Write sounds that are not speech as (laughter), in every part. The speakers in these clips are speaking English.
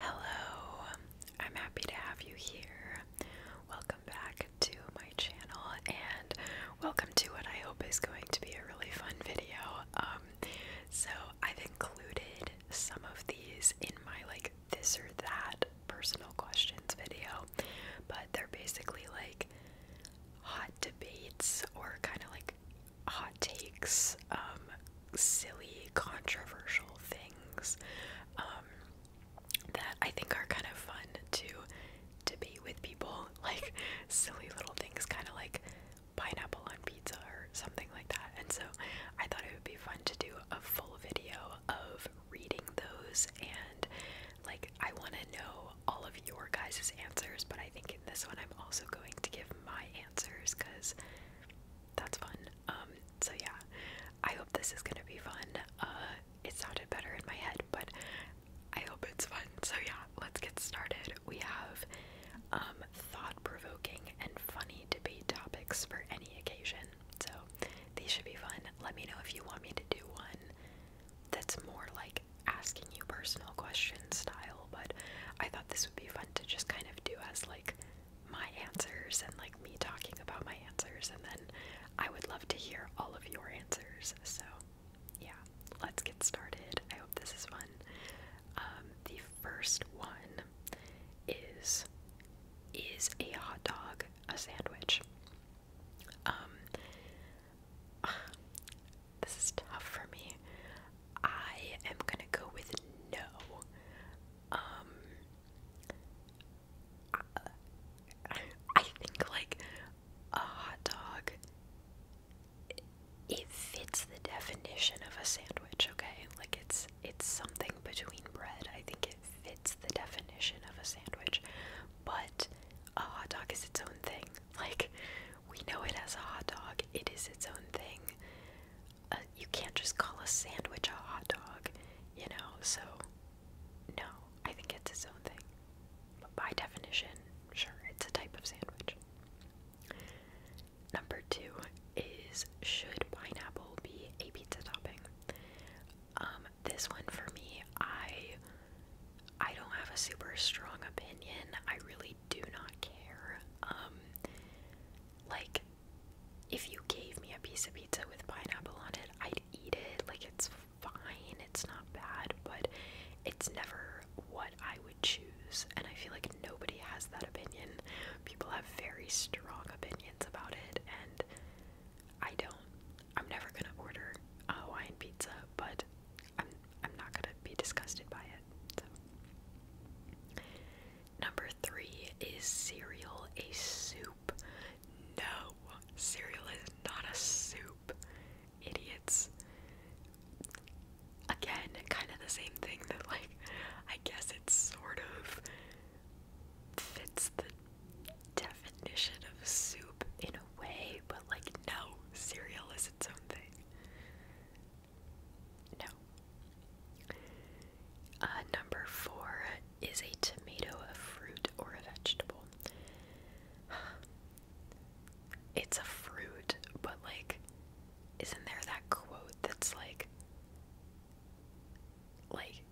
Hello, I'm happy to have you here. Welcome back to my channel and welcome to what I hope is going to be a really fun video. Um, so I've included some of these in my like this or that personal questions video, but they're basically like hot debates or kind of like hot takes um, silly, controversial things um, that I think are kind of fun to debate with people. (laughs) Like silly little things, kind of like pineapple on pizza or something like that. And so I thought it would be fun to do a full video of reading those and like I want to know all of your guys' answers, but I think in this one I'm also going to give my answers because that's fun. Um, so yeah i hope this is gonna be fun uh it sounded better in my head but i hope it's fun so yeah let's get started we have um thought-provoking and funny debate topics for any occasion so these should be fun let me know if you want me to do one that's more like asking you personal questions style but i thought this would be fun to just kind of do as like my answers and like me talking about my answers, and then I would love to hear all of your answers. So, yeah, let's get started. I hope this is fun. Um, the first one is Is a hot dog a sandwich? Um, (sighs) this is tough for me. I am gonna go with no. Um, I, think like a hot dog. it fits the definition of a sandwich, okay? Like it's it's something between bread. I think it fits the definition of a sandwich. But a hot dog is its own thing. Like we know it as a hot dog. It is its own thing you can't just call a sandwich a hot dog, you know? So, no, I think it's its own thing. But by definition, sure, it's a type of sandwich. Number two is should pineapple be a pizza topping? Um, this one for me, I I don't have a super strong opinion. I really do not care. Um, like if you gave me a piece of pizza with pineapple on it, I'd eat it. Like, it's fine, it's not bad, but it's never what I would choose. And I feel like nobody has that opinion. People have very strong opinions about it, and I don't. I'm never gonna order a Hawaiian pizza, but I'm, not gonna be disgusted by it. Number three is cereal a soup? No, cereal is not a soup. Idiots. Again, kind of the same thing that, like, I guess it sort of fits the definition of soup in a way, but, like, no, cereal is its own thing. No. Uh, number four is a tomato a fruit or a vegetable? (sighs) It's a fruit, but like, isn't there that quote that's like, like,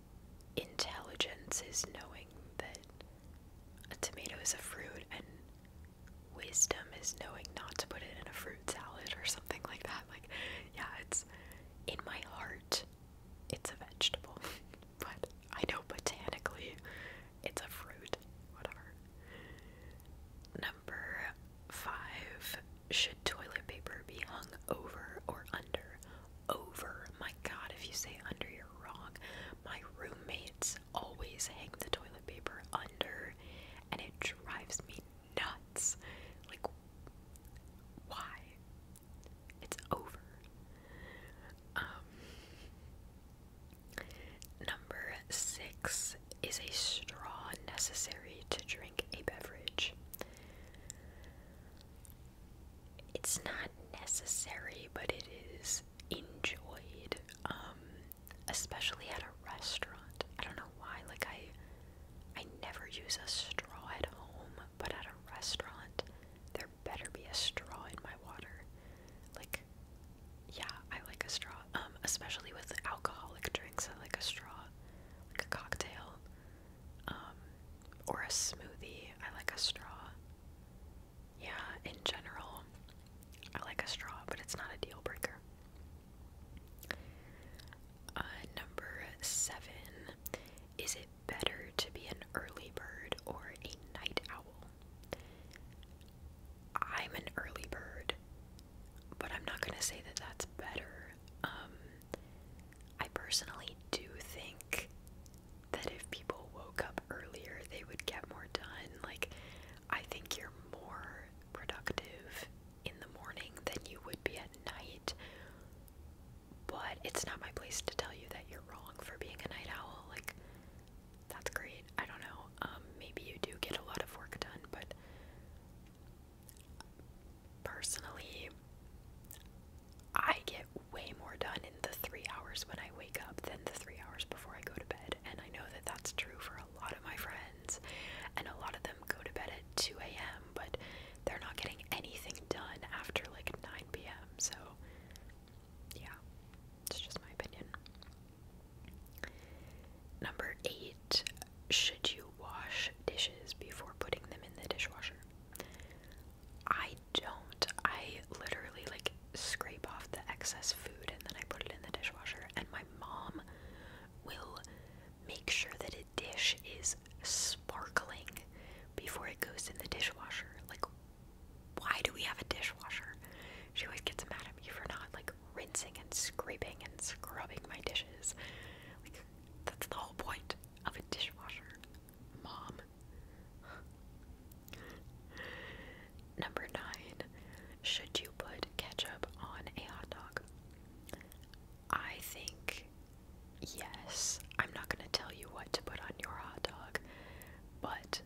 intelligence is knowing that a tomato is a fruit and wisdom is knowing not to put it in a fruit salad or something like that? Like, yeah, it's in my heart, it's a vegetable. (laughs) but I know botanically it's a fruit. Whatever. Number five, should toilet paper be hung over or under? Over. My god, if you say under, you're wrong. My roommates always hang the toilet paper under, and it drives me nuts. Like, why? It's over. Um, number six is a straw necessary to drink a beverage. It's not necessary, but it is enjoyed, um, especially at a restaurant. I don't know why, like, I I never use a straw at home, but at a restaurant, there better be a straw in my water. Like, yeah, I like a straw. Um, especially with alcoholic drinks, I like a straw, like a cocktail, um, or a smoothie. I like a straw. Yeah, in general, I like a straw, but it's not a deal breaker. Uh, number seven. Is it better to be an early bird or a night owl? I'm an early bird, but I'm not going to say that that's better. Um, I personally do think that if people woke up earlier, they would get more done. Like, I think you're more productive in the morning than you would be at night. But it's not my place to tell you that you're wrong for being a night owl. Like, that's great. I don't know. Um, maybe you do get a lot of work done, but personally, I get way more done in the three hours when I wake up than the three hours before I go to bed. And I know that that's true for a lot of my friends, and a lot of them go to bed at 2 a.m., but they're not getting anything done after like 9 p.m., so yeah, it's just my opinion. Number eight, should you wash dishes before putting them in the dishwasher? I don't. I literally like scrape off the excess food and then I put it in the dishwasher, and my mom will make sure that a dish is sparkling before it goes in the dishwasher. Like, why do we have a dishwasher? She always gets mad at me for not like rinsing and scraping and scrubbing my dishes. Like, that's the whole point of a dishwasher, mom. Number nine, should you put ketchup on a hot dog? I think yes. I'm not going to tell you what to put on your hot dog, but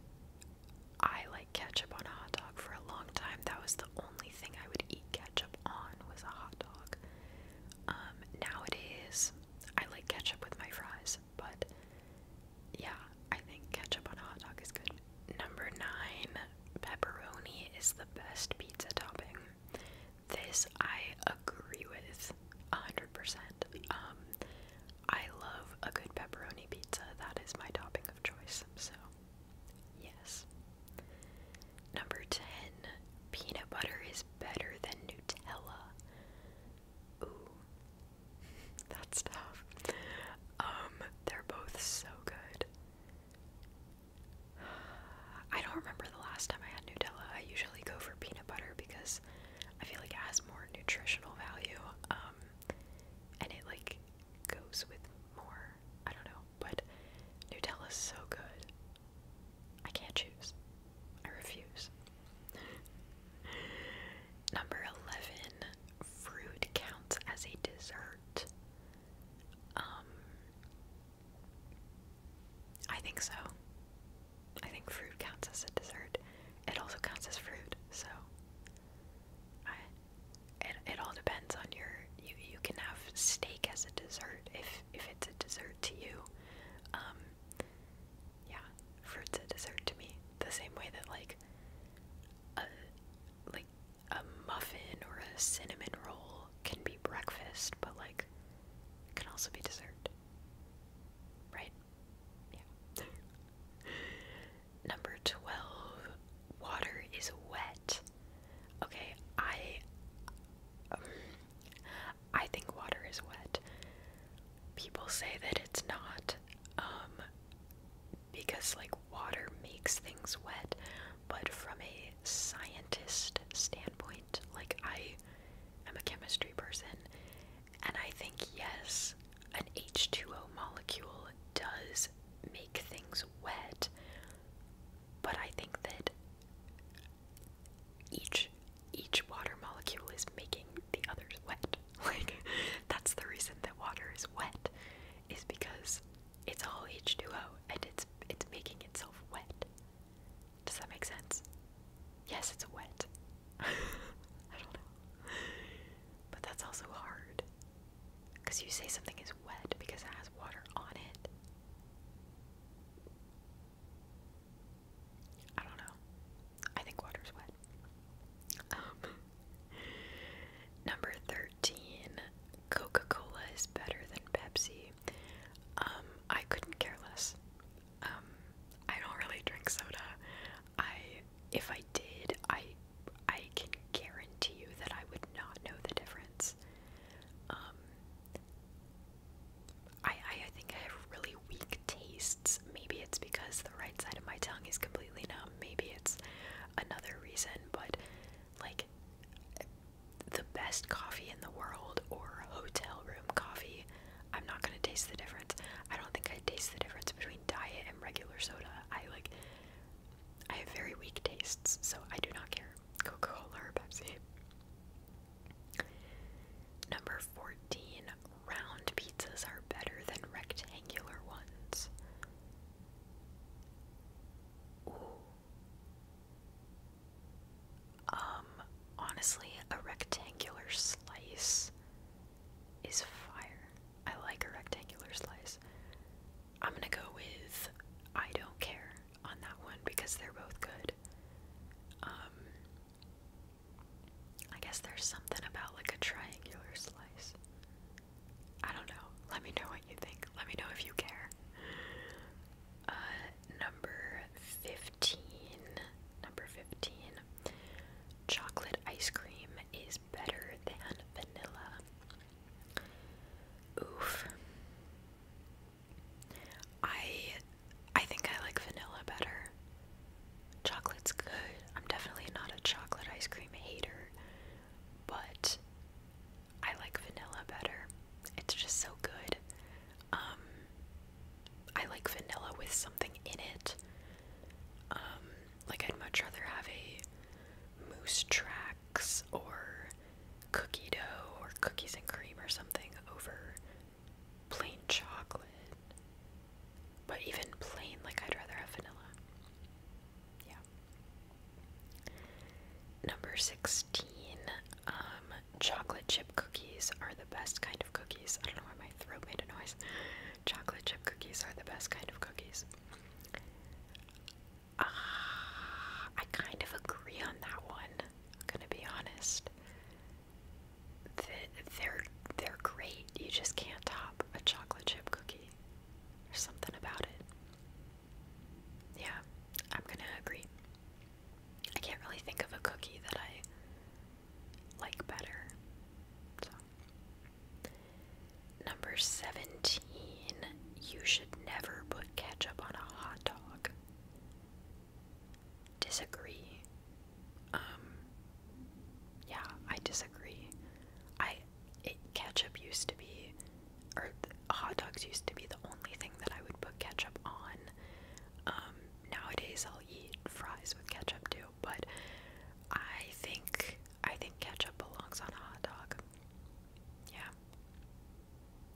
I like ketchup on a hot dog for a long time. That was the only thing I would eat ketchup on was a hot dog. Um, nowadays I like ketchup with my fries, but yeah, I think ketchup on a hot dog is good. Number 9, pepperoni is the best pizza topping. This I agree with 100%. Um I love a good pepperoni pizza. That is my topping of choice. So, yes. Number 10, peanut butter is better than Nutella. Ooh. (laughs) That's tough. Um, they're both so good. I don't remember the last time I had Nutella. I usually go for peanut butter because I feel like it has more nutritional value. Um, and it like goes with more. I don't know, but Nutella is so good. I can't choose. I refuse. (laughs) Number 11, fruit counts as a dessert. Um, I think so. I think fruit counts as a dessert. It also counts as fruit, so it it all depends on your you you can have steak as a dessert if if it's a dessert to you. Um, yeah, fruit's a dessert to me. The same way that like like a muffin or a cinnamon roll can be breakfast, but like it can also be dessert. Right? Yeah. (laughs) Number 12, water is wet. Okay, I um, I think water is wet. People say that it's not. Um, because like water makes things wet, but from a scientist standpoint, like I am a chemistry person, and I think yes, an H2O molecule does make things wet, but I think that each each water molecule is making the others wet. (laughs) Like that's the reason that water is wet is because it's all H2O and it's it's making itself wet. Does that make sense? Yes, it's wet. (laughs) I don't know. But that's also hard. Because you say something is wet because it has water on it. I don't know. I think water's wet. Um, Number 13, Coca Cola is better than Pepsi. Um, I couldn't care less. Um, I don't really drink soda. I, if I did, I, I can guarantee you that I would not know the difference. Um, I, I think I have really weak tastes. Maybe it's because the right side of my tongue is completely numb. Maybe it's another reason, but like the best coffee in the world or hotel room coffee, I'm not gonna taste the difference. I don't think I taste the difference between diet and regular soda. I like I have very weak tastes, so I do not care. Coca-Cola or Pepsi. Number 14, round pizzas are better than rectangular ones. Um, honestly, a rectangular slice is fire. I like a rectangular slice. I'm gonna go with I don't care on that one because they're both good. Um, I guess there's something about like a triangular slice. I don't know. Let me know what you think. Let me know if you care. Uh, number 15. Number 15. Chocolate ice cream is better than vanilla. Oof. I I think I like vanilla better. Chocolate's good. I'm definitely not a chocolate ice cream hater but I like vanilla better. It's just so good. Um, I like vanilla with something in it. Um, like I'd much rather have a moose tracks or cookie dough or cookies and cream or something over plain chocolate. But even plain, like I'd rather have vanilla. Yeah. Number 16, um, chocolate chip cookies are the best kind of cookies. I don't know why my throat made a noise. Chocolate chip cookies are the best kind of cookies. Ah, I kind of agree on that one. I'm gonna be honest. they're they're great. You just can't top a chocolate chip cookie. There's something about it. Yeah, I'm gonna agree. I can't really think of a cookie that I like better. Number 17, you should never put ketchup on a hot dog. Disagree. Um yeah, I disagree. I ketchup used to be or hot dogs used to be the only thing that I would put ketchup on. Um, nowadays I'll eat fries with ketchup too, but I think I think ketchup belongs on a hot dog. Yeah.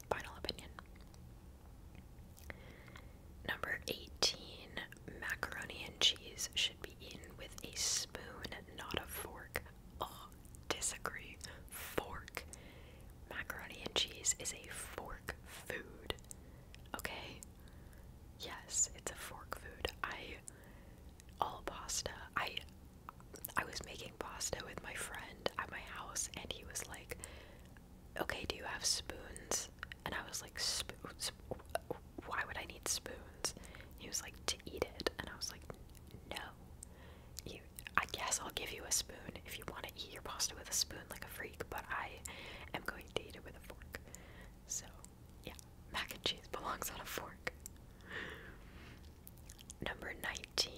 Final opinion. Number 18, macaroni and cheese should be eaten with a spoon, not a fork oh, disagree. Fork. Macaroni and cheese is a fork food. Okay? Yes, it's a fork food. I all pasta. I I was making pasta with my friend at my house and he was like, "Okay, do you have spoons?" And I was like, "Spoons? Why would I need spoons?" he was like, "To eat it." And I was like, no. You, I guess I'll give you a spoon if you want to eat your pasta with a spoon like a freak, but I am going to eat it with a fork. So, yeah, mac and cheese belongs on a fork. Number 19,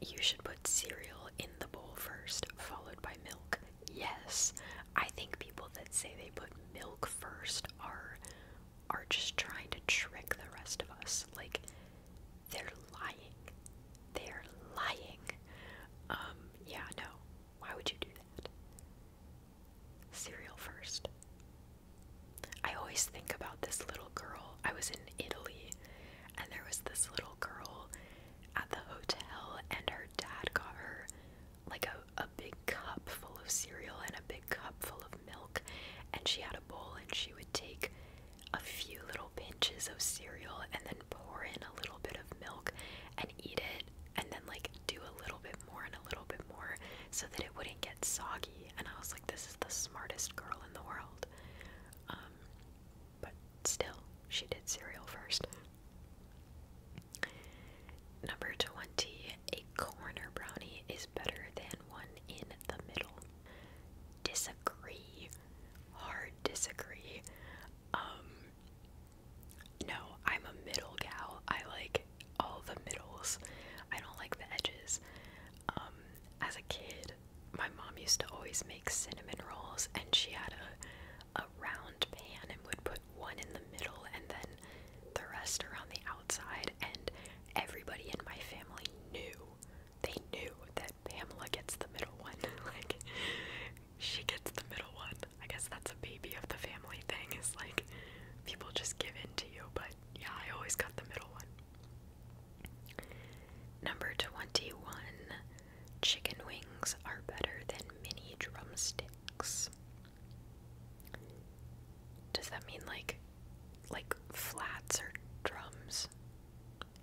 you should put cereal in the bowl first, followed by milk. Yes, I think people that say they put milk first are are just trying to trick the rest of us. Like, they're lying. They're lying. Um, yeah, no. Why would you do that? Cereal first. I always think about this little girl. I was in Italy, and there was this little girl at the hotel, and her dad got her like a, a big big cup full of cereal and a big cup full of milk, and she had a bowl, and she would take a few little pinches of cereal and then pour in a little bit of milk and eat it, and then like do a little bit more and a little bit more so that it wouldn't get soggy. And I was like, this is the smartest girl in the world. Um, but still, she did cereal first. Number 20, a corner brownie is better than one in the middle. Disagree. Hard disagree. Um, no, I'm a middle gal. I like all the middles. I don't like the edges. Um, as a kid, my mom used to always make cinnamon rolls and she had a a round pan and would put one in the middle and then the rest around the and everybody in my family knew. They knew that Pamela gets the middle one. (laughs) like, she gets the middle one. I guess that's a baby of the family thing, It's like, people just give in to you, but yeah, I always got the middle one. Number 21 Chicken wings are better than mini drumsticks. Does that mean like like flats or drums?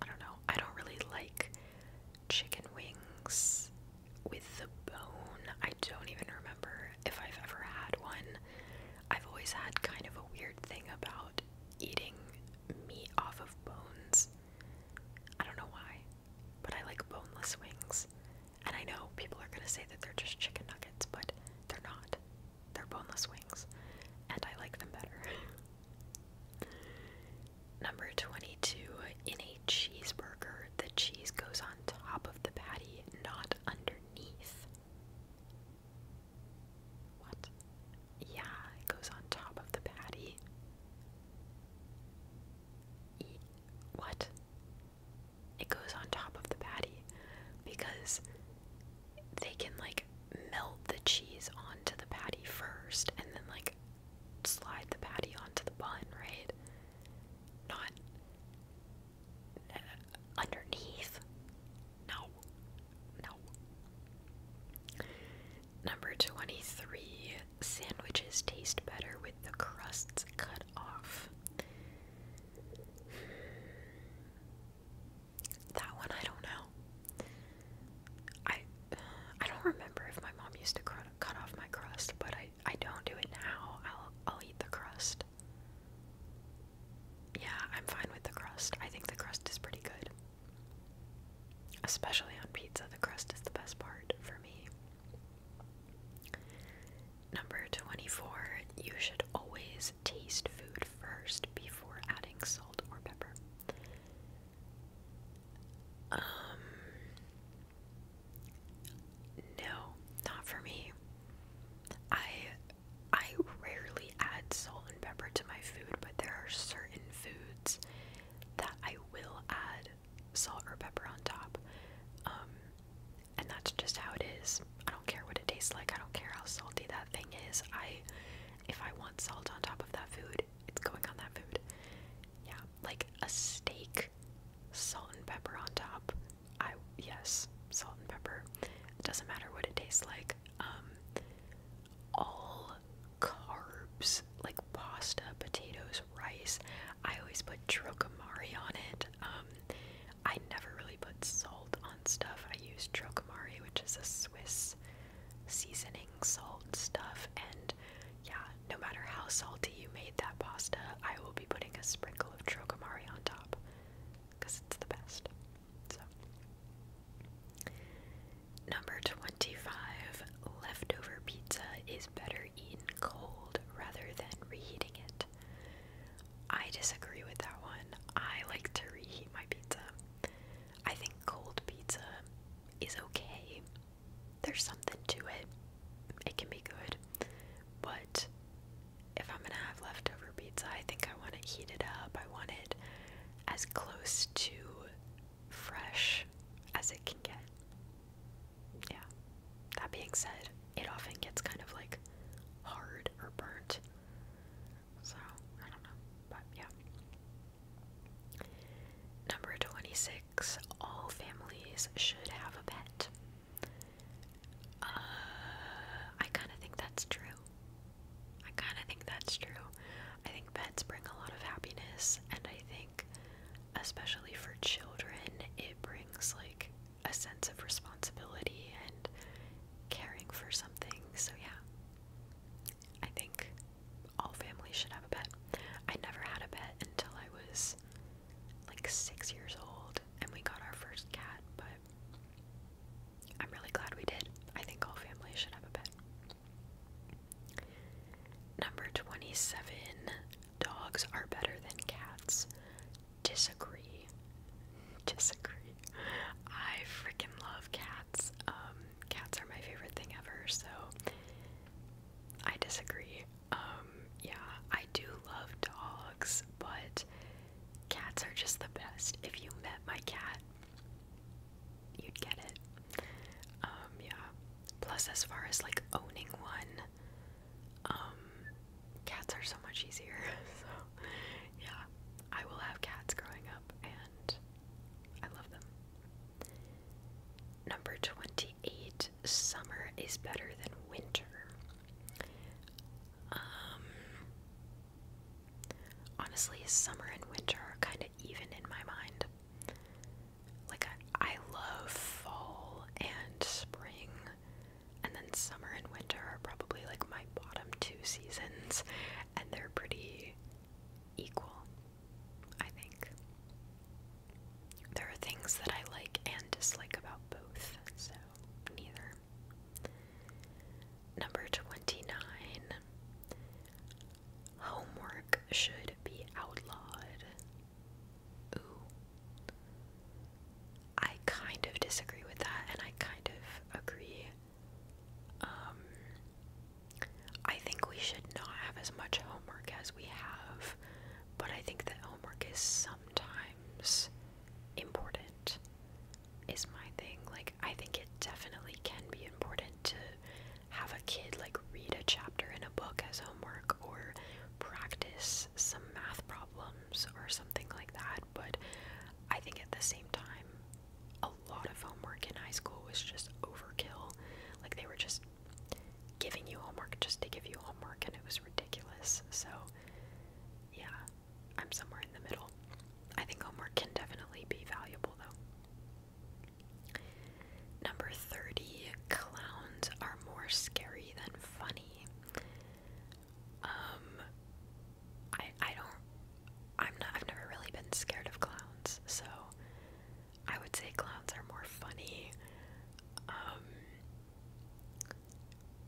I don't know. I don't really like chicken wings with the bone. I don't even remember if I've ever had one. I've always had kind of a weird thing about eating meat off of bones. I don't know why, but I like boneless wings. And I know people are going to say that they're just chicken nuggets, but they're not. They're boneless wings, and I like them better. (laughs) Number 22. In a cheeseburger, the cheese goes on top of the patty, not underneath. What? Yeah, it goes on top of the patty. what? it goes on top of the patty because they can like melt the cheese onto the patty first and then like slide the patty onto the bun, right? Not uh, underneath. No. No. Number 23 sandwiches taste better with the crusts cut off. That one I don't know. I I don't remember if my mom used to cut, cut off my crust, but I I don't do it now. I'll I'll eat the crust. Yeah, I'm fine with the crust. I think the crust is pretty good. Especially on pizza, the crust is the best part for me. Number 24, you should always taste food first before adding salt or pepper. Um, no, not for me. I I rarely add salt and pepper to my food, but there are certain foods that I will add salt or pepper on top. Um, and that's just how it is. I don't care what it tastes like. I don't care how salty that thing is. I if I want salt on top of that food, it's going on that food. Yeah, like a steak, salt and pepper on top. I yes, salt and pepper. It doesn't matter what it tastes like. Um all carbs like pasta, potatoes, rice. I always put trocomari on it. Um I never really put salt on stuff. I use Trocamari, which is a Swiss seasoning salt stuff. And yeah, no matter how salty you made that pasta, I will be putting a sprinkle of Trocamari on top because it's the best. So, number 25 leftover pizza is better eaten cold rather than reheating it. I disagree with that one. I like to reheat my pizza. I think cold pizza is okay. There's something to it. It can be good. But if I'm gonna have leftover pizza, I think I want to heat it up. I want it as close to fresh as it can get. Yeah. That being said, it often gets kind of like hard or burnt. So, I don't know, but yeah. Number 26 All families should have a pet. Uh, I kind of think that's true. I kind of think that's true. I think pets bring a lot of happiness, and I think, especially for children, it brings like a sense of responsibility and caring for something. So, yeah, I think all families should have a pet. I never had a pet until I was like six years old and we got our first cat, but I'm really glad we did. I think all families should have a pet. Number 27 dogs are better than cats. Disagree. Disagree. I freaking love cats. Um, cats are my favorite thing ever, so I disagree. Um, yeah, I do love dogs, but cats are just the best. If you met my cat, you'd get it. Um, yeah. Plus, as far as like owning one, um, cats are so much easier. (laughs) so, yeah, I will have cats growing up, and I love them. Number 28 Summer is better than winter. Um, honestly, summer and winter are kind of even in my mind. Like, I, I love fall and spring and then summer and winter are probably like my bottom two seasons, and they're pretty equal, I think. There are things that I like and dislike about both, so neither. Number 29 Homework should be outlawed ooh. I kind of disagree with that, and I kind of agree. Um, I think we should not have as much homework as we have, but I think that homework is sometimes important, is my thing. Like, I think it definitely can be important to have a kid, like, read a chapter in a book as homework or practice some math problem or something like that. But I think at the same time, a lot of homework in high school was just overkill. Like they were just giving you homework just to give you homework, and it was ridiculous. So, yeah, I'm somewhere in the middle. I think homework can definitely be valuable though. Number 30 Clowns are more scary than funny. Um, I I don't I'm not I've never really been scared of clowns, so I would say clowns are more funny. Um,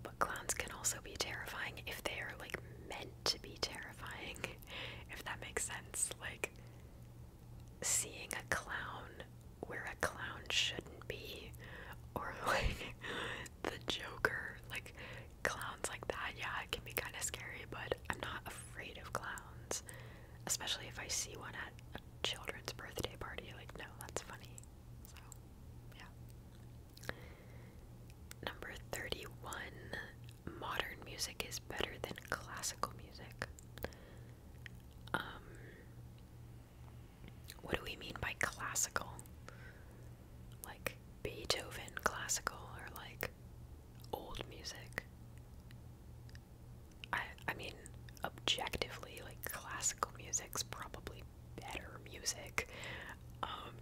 but clowns can also be terrifying if they are like meant to be terrifying, (laughs) if that makes sense. Like seeing a clown where a clown shouldn't be, or (laughs) like the Joker, like clowns like that. Yeah, it can be kind of scary, but I'm not afraid of clowns, especially if I see one at a children's birthday party. Like, no, that's funny. So, yeah. Number 31 Modern music is better than classical music. Um, what do we mean by classical? Like Beethoven classical or like old music? I I mean objectively like classical music's probably better music. Um,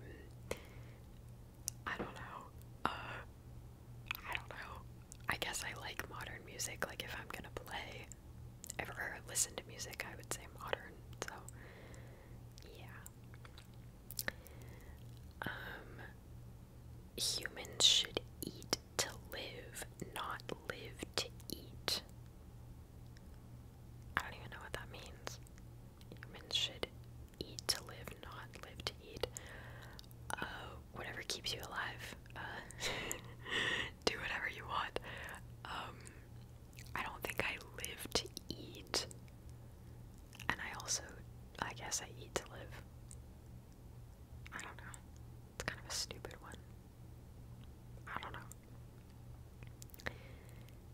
I don't know. Uh, I don't know. I guess I like modern music like if I'm going to play ever or listen to music, I would say modern. So, yeah. Um, humans should eat to live, not live to eat. I don't even know what that means. Humans should eat to live, not live to eat. Uh, whatever keeps you alive. Uh, (laughs) do whatever you want. Um, I don't think I live to eat. And I also, I guess I eat to live. I don't know. It's kind of a stupid one. I don't know.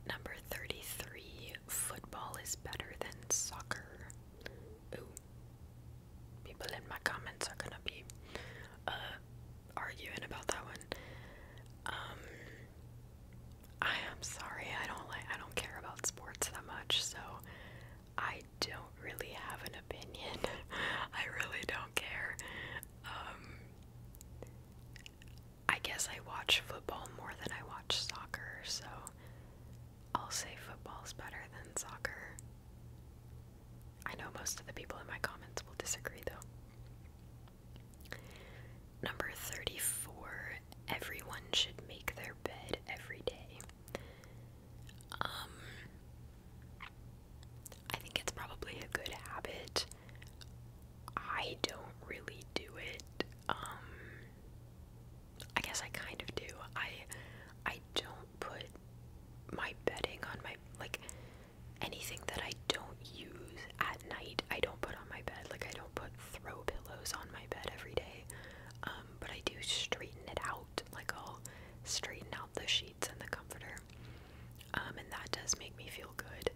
Number 33 football is better than soccer. People in my comments are gonna be, uh, arguing about that one. Um, I am sorry. I don't like. I don't care about sports that much, so I don't really have an opinion. (laughs) I really don't care. Um, I guess I watch football more than I watch soccer, so I'll say football's better than soccer. I know most of the people in my comments will disagree though. Number 34 everyone should make their bed every day. Um I think it's probably a good habit. I don't really do it. Um I guess I kind of do. I I don't put my bedding on my like anything that I don't use at night, I don't put on my bed. Like I don't put throw pillows on my bed every day. Um, but I do straighten it out. Like I'll straighten out the sheets and the comforter. Um, and that does make me feel good.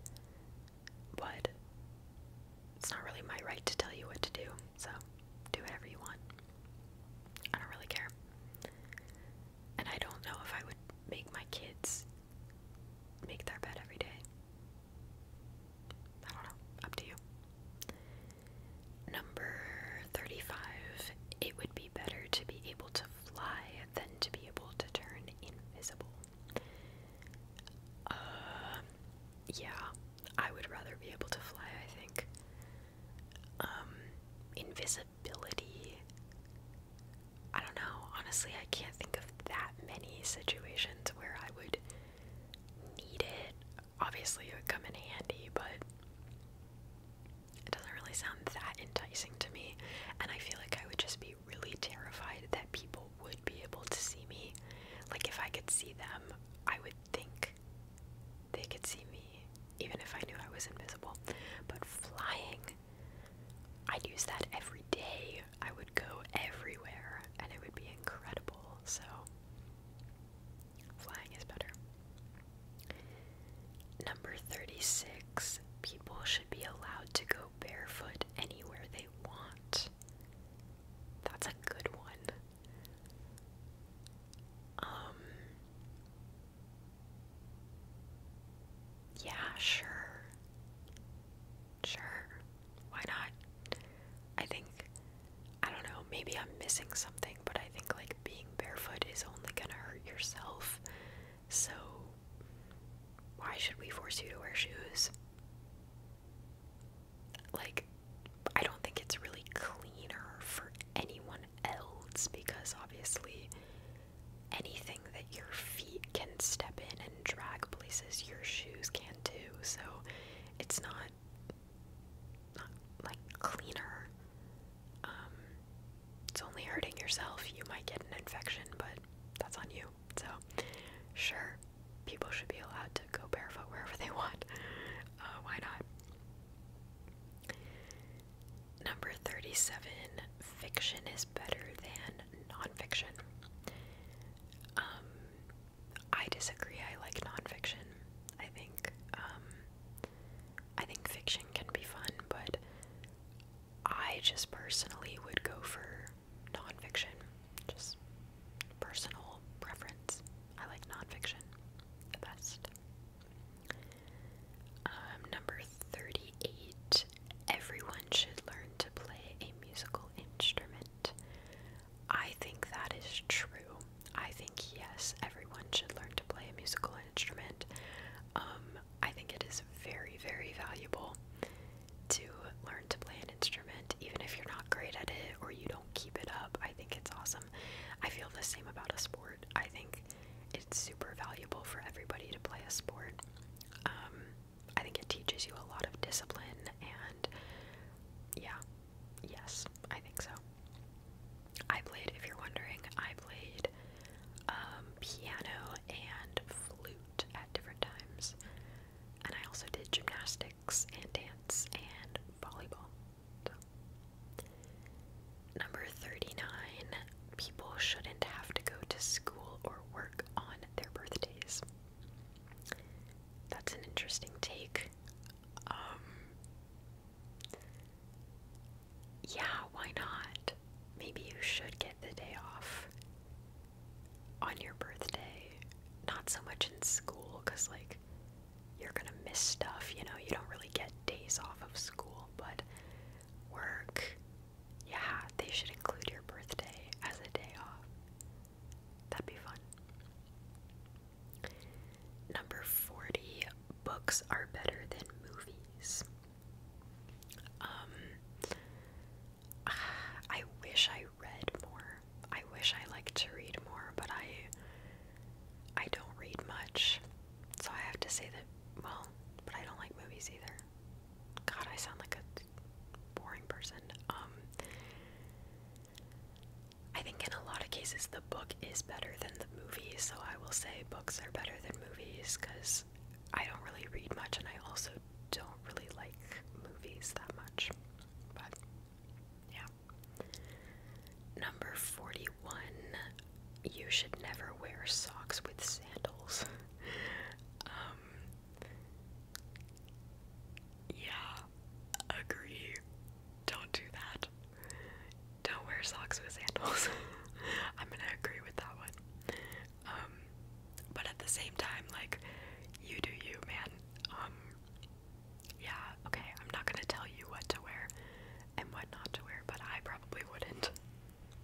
But it's not really my right to tell you what to do. So do whatever you want. I don't really care. And I don't know if I would make my kids make their bed every day. I don't know, up to you. Number 35. It would be better to be able to fly than to be able to turn invisible. Um, yeah, I would rather be able to fly, I think. Um, invisibility I don't know. Honestly, I can't think of that many situations where I would need it. Obviously, it would come in handy, but it doesn't really sound that enticing to me. And I feel like I would just be really terrified that people would be able to see me. Like, if I could see them, I would think they could see me, even if I knew I was invisible. But flying, I'd use that every day. I would go everywhere and it would be incredible. So, flying is better. Number 36 people should be allowed to go barefoot anywhere they want. That's a good one. Um, yeah, sure. Sure. Why not? I think, I don't know, maybe I'm missing something, but I think like being barefoot is only gonna hurt yourself. So, why should we force you to wear shoes? Like, I don't think it's really cleaner for anyone else because obviously anything that your feet can step in and drag places your shoes can not do. So it's not like cleaner. Um, it's only hurting yourself. You might get an infection, but that's on you. So sure, people should be allowed to go barefoot wherever they want. Uh, why not? Number 37 Fiction is better than nonfiction. Um, I disagree. I like nonfiction. I think, um, I think fiction can be fun, but I just personally would go for nonfiction. Just personal preference. I like nonfiction the best. Um, number 38 Everyone should learn to play a musical instrument. I think that is true. I think, yes, everyone should learn to play a musical instrument. Um, I think it is very, very valuable to learn to play an instrument, even if you're not great at it or you don't keep it up. I think it's awesome. I feel the same about a sport. I think think it's super valuable for everybody to play a sport. Um, I think it teaches you a lot of discipline, and yeah, yes, I think so. I played, if you're wondering, I played um, piano and flute at different times, and I also did gymnastics and dance and volleyball. So. Number 39 People shouldn't have to go to school or work on their birthdays. That's an interesting take. Um, yeah, why not? Maybe you should get the day off on your birthday. Not so much in school, because, like, you're gonna miss stuff, you know, you don't really get days off of school, but work. Yeah, they should include your birthday as a day off. That'd be fun. Number 40 books are better than movies. Um, (sighs) I wish I read more. I wish I liked to read more, but I I don't read much. So I have to say that, well, but I don't like movies either. God, I sound like a boring person. Um, I think in a lot of cases the book is better than the movie, so I will say books are better than movies because I don't really read much and I also don't really like movies that much. But yeah. Number 41 you should never wear socks with sandals. (laughs) Um, yeah, agree. Don't do that. Don't wear socks with sandals. (laughs) I'm gonna agree with that one. Um, but at the same time, like, you do you, man. Um, yeah, okay, I'm not gonna tell you what to wear and what not to wear, but I probably wouldn't.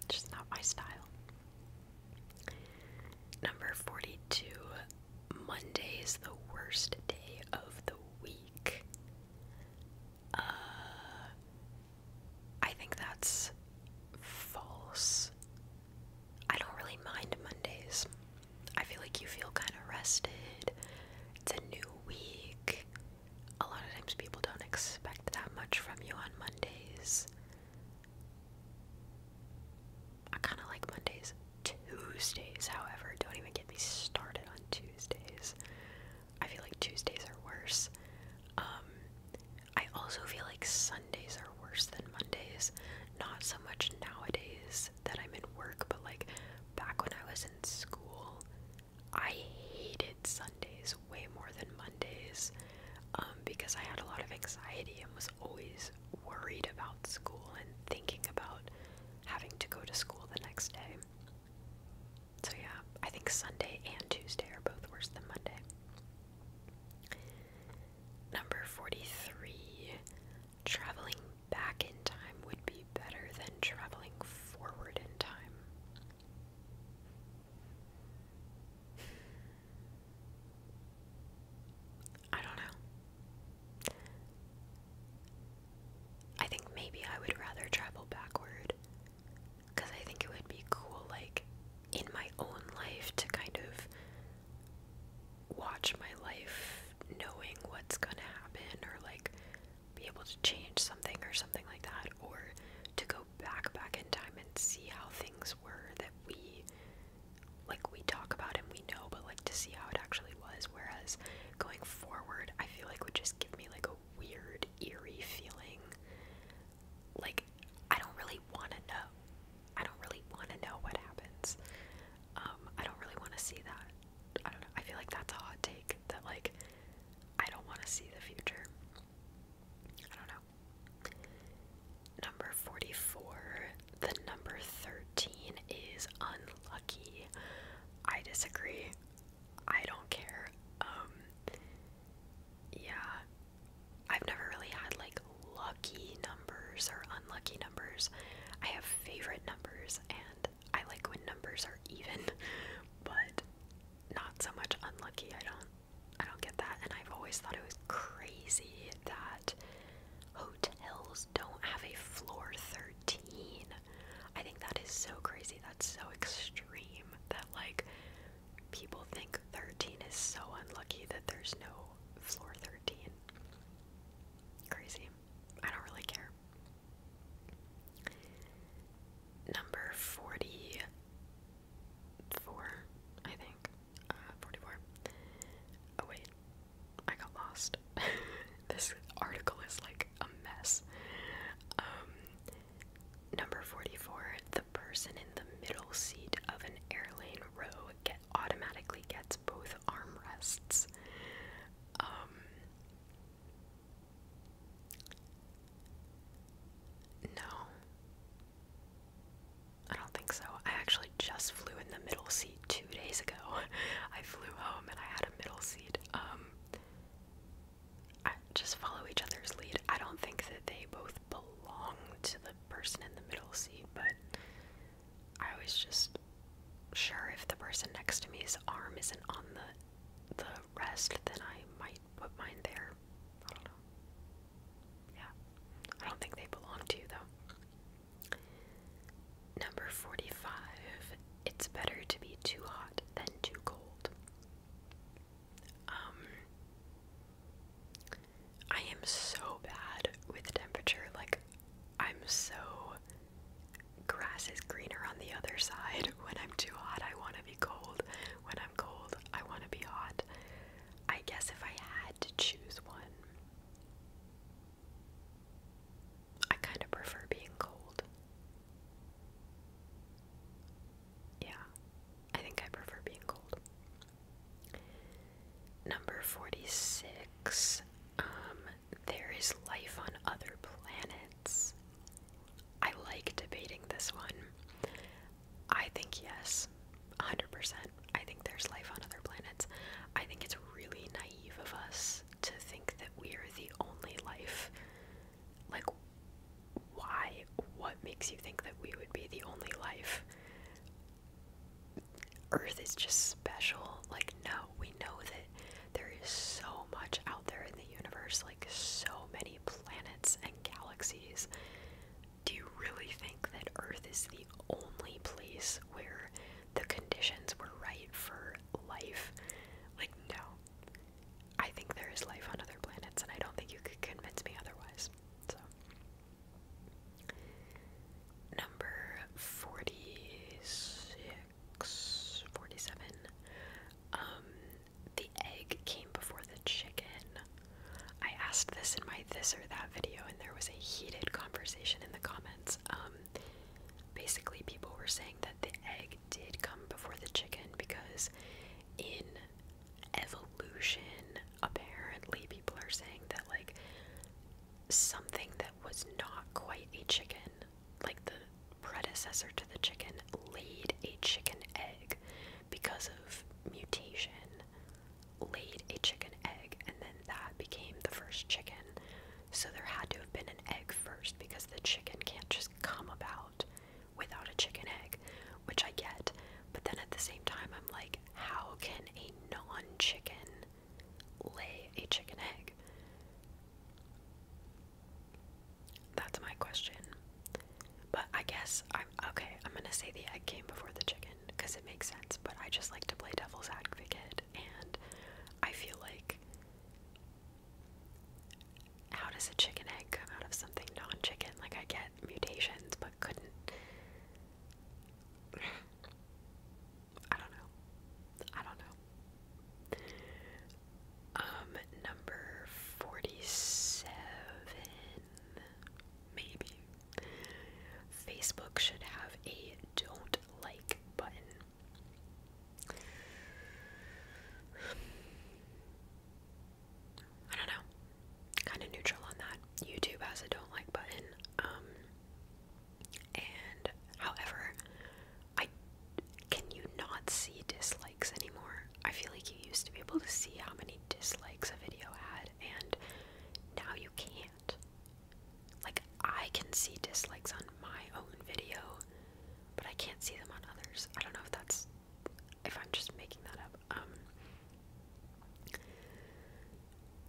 Just not my style. Number 42 Monday is the worst day of the week. Uh, I think that's false. I don't really mind Mondays. I feel like you feel kind of rested. It's a new week a lot of times people don't expect that much from you on Mondays. I kind of like Mondays. Tuesdays, however, don't even get me started on Tuesdays. I feel like Tuesdays are worse. Um, I also feel like Sundays are worse than Mondays. Not so much nowadays that I'm in work, but like back when I was in school, I hated Sundays way more than Mondays um, because I had a lot of anxiety and was always worried about school and thinking about having to go to school the next day. So, yeah, I think Sunday and Tuesday are both worse than Monday. Number 43 Traveling back in time would be better than traveling forward in time. (sighs) I don't know. I think maybe I would rather travel backward because I think it would be cool, like, in my own life to kind of watch my life knowing what's gonna happen or, like, be able to change something or something like that, or to go back back in time and see how things were that we like we talk about and we know, but like to see how it actually was. Whereas going forward, I feel like would just give me like a weird, eerie feeling. Like I don't really want to know. I don't really want to know what happens. Um, I don't really want to see that. I don't know. I feel like that's a hot take that like I don't want to see the future. I don't know. Number 44, the number 13 is unlucky. I disagree. I don't care. Um yeah. I've never really had like lucky numbers or unlucky numbers. I have favorite numbers and I like when numbers are even, (laughs) but not so much unlucky. I don't I don't get that and I've always thought it was crazy that hotels don't have a floor 13. I think that is so crazy. That's so extreme that like people think 13 is so unlucky that there's no floor 13. Crazy. I don't really care number 44, I think. Uh, 44. Oh, wait. I got lost. (laughs) this article is like a mess. Um, number 44. The person in the middle seat of an airlane row get, automatically gets both armrests. Um, no. I don't think so. I actually just flew in the middle seat two days ago. (laughs) I flew home and I had a middle seat. Um, I just follow each other's lead. I don't think that they both belong to the person in the middle seat, but I was just sure if the person next to me's arm isn't on the the rest, then I might put mine there. I don't know. Yeah. I don't think they belong to you, though. Number 45. It's better to be too hot than too cold. Um, I am so bad with temperature. Like, I'm so grass is greener on the other side. (laughs) When I'm too hot, I want to be cold. When I'm cold, I want to be hot. I guess if I had to choose one, I kind of prefer being cold. Yeah, I think I prefer being cold. Number 46. Um, there is life on other planets. I like debating this one. I think yes, 100%. I think there's life on other planets. I think it's really naive of us to think that we are the only life. Like, why? What makes you think that we would be the only life? Earth is just special. Like, no, we know that there is so much out there in the universe, like so many planets and galaxies. Do you really think that Earth is the only place where the conditions were right for life? Like, no. I think there is life on other planets, and I don't think you could convince me otherwise. So, number 46. 47. Um, the egg came before the chicken. I asked this in my this or that video, and there was a heated conversation in the comments. Um, basically, people were saying that the egg did come before the chicken because in evolution, apparently, people are saying that, like, something that was not quite a chicken like the predecessor to the chicken, laid a chicken egg because of mutation, laid a chicken egg, and then that became the first chicken. So there had to have been an egg first because the chicken can't just come about without a chicken egg, which I get. But then at the same time, I'm like, how can a non chicken lay a chicken egg? That's my question. But I guess I'm okay. I'm gonna say the egg came before the chicken because it makes sense. But I just like to play devil's advocate, and I feel like how does a chicken egg come out of something non-chicken? Like I get mutations, but couldn't. (sighs) I don't know. I don't know. Um, number 47, maybe. Facebook should have a don't like button. I don't know. Kind of neutral on that. YouTube has a don't like button. Um, and however, I can you not see dislikes anymore? I feel like you used to be able to see how many dislikes a video had, and now you can't. Like, I can see dislikes on my own video, but I can't see them on others. I don't know if that's if I'm just making that up. Um,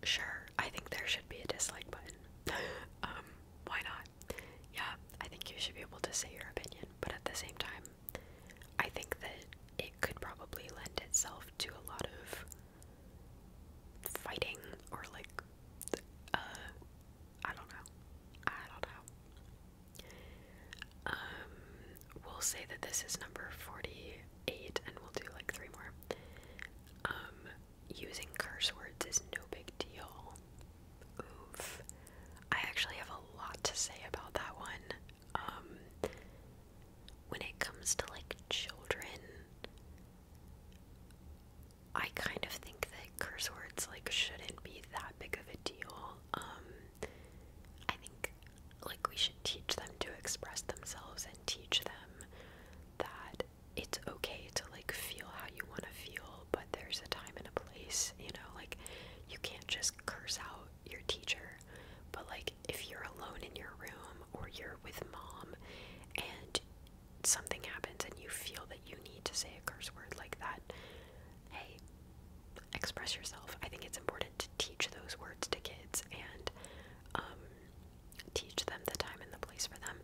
sure, I think there should be a dislike button. (laughs) um, why not? Yeah, I think you should be able to say your opinion, but at the same time, I think that it could probably lend itself to a lot of fighting or like uh I don't know. I don't know. Um we'll say that this is number 48 and we'll do like three more. Um using curse words is no big deal. Oof. I actually have a lot to say about that one. Um, when it comes to like children, I kind of think that curse words like shouldn't be that big of a deal. Um, I think like we should teach them to express themselves and teach them that it's okay to like feel how you want to feel, but there's a time and a place you know, like you can't just curse out your teacher. But like if you're alone in your room or you're with mom and something happens and you feel that you need to say a curse word like that, hey, express yourself. I think it's important to teach those words to kids and um, teach them the time and the place for them.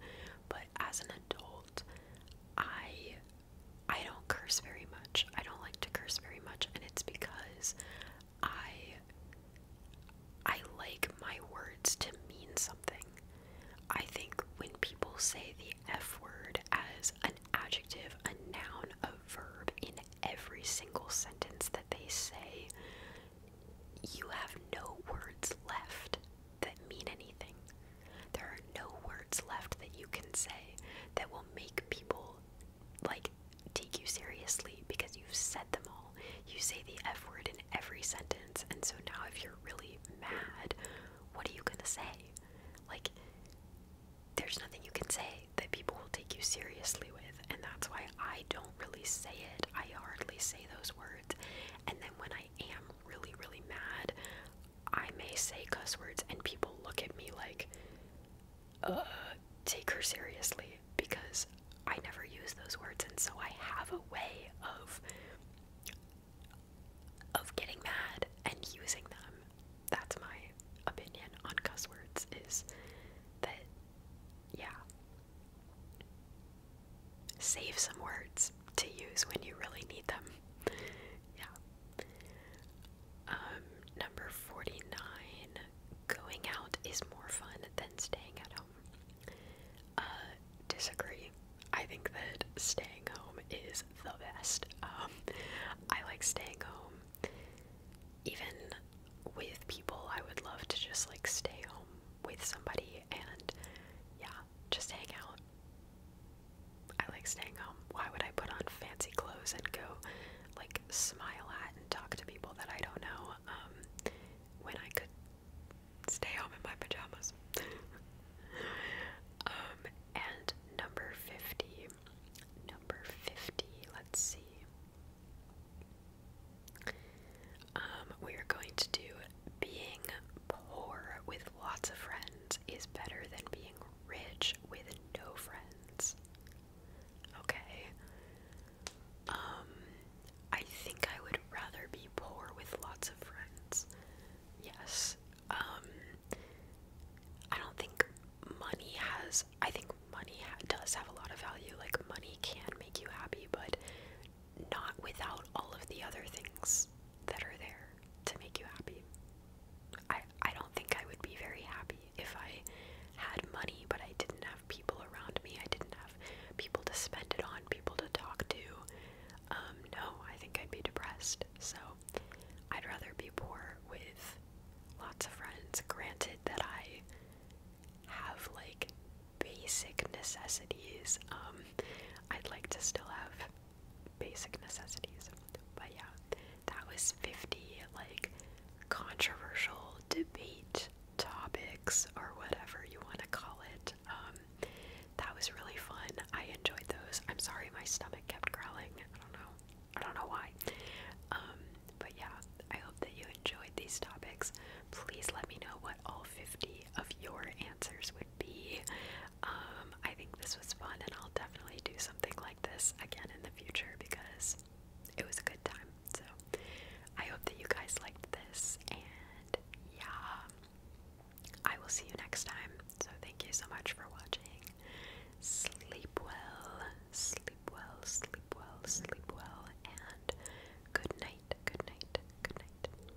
But as an adult, I I don't curse very much. I don't like to curse very much, and it's because I I like my words to mean something. I think when people say the F word as an adjective, a noun, a verb in every single sentence that they say, you have no words left that mean anything. There are no words left that you can say that will make people like take you seriously because you've said them all. You say the F word in every sentence, and so now if you're really mad, what are you gonna say? Like, there's nothing you can say that people will take you seriously with, and that's why I don't really say it. I hardly say those words. And then when I am really, really mad, I may say cuss words and people look at me like, uh, take her seriously because I never use those words, and so I have a way of of getting mad and using them. That's my opinion on cuss words. Is that yeah save some words to use when you really need them. Yeah. Um, number 49 going out is more fun than staying at home. Uh, disagree. I think that staying home is the best. Um, I like staying home. Even with people, I would love to just like stay home with somebody and yeah, just hang out. I like staying home. Why would I put on fancy clothes and go like smile at and talk to people that I don't know um, when I could stay home in my pajamas? (laughs) Um, and number 50. Number 50, let's see. Um, we are going to do being poor with lots of friends is better than being rich with no friends. Okay. Um, I think I would rather be poor with lots of friends. Yes. Um, I don't think money has, I think money does have a lot of value. Like, money can make you happy, but not without all of the other things that are there to make you happy. I I don't think I would be very happy if I had money but I didn't have people around me. I didn't have people to spend it on, people to talk to. Um, no, I think I'd be depressed. So I'd rather be poor with lots of friends. Granted that I have like basic necessities. Um, I'd like to still have basic necessities. But yeah, that was 50 like controversial debate topics or whatever you want to call it. Um, that was really fun. I enjoyed those. I'm sorry my stomach kept growling. I don't know. I don't know why. Um, but yeah, I hope that you enjoyed these topics. Please let me know what all 50 of your answers would be. Um, I think this was fun, and I'll definitely do something like this again in the future because it was a good time. So, I hope that you guys liked this, and yeah, I will see you next time. So, thank you so much for watching. Sleep well, sleep well, sleep well, sleep well, and good night, good night, good night.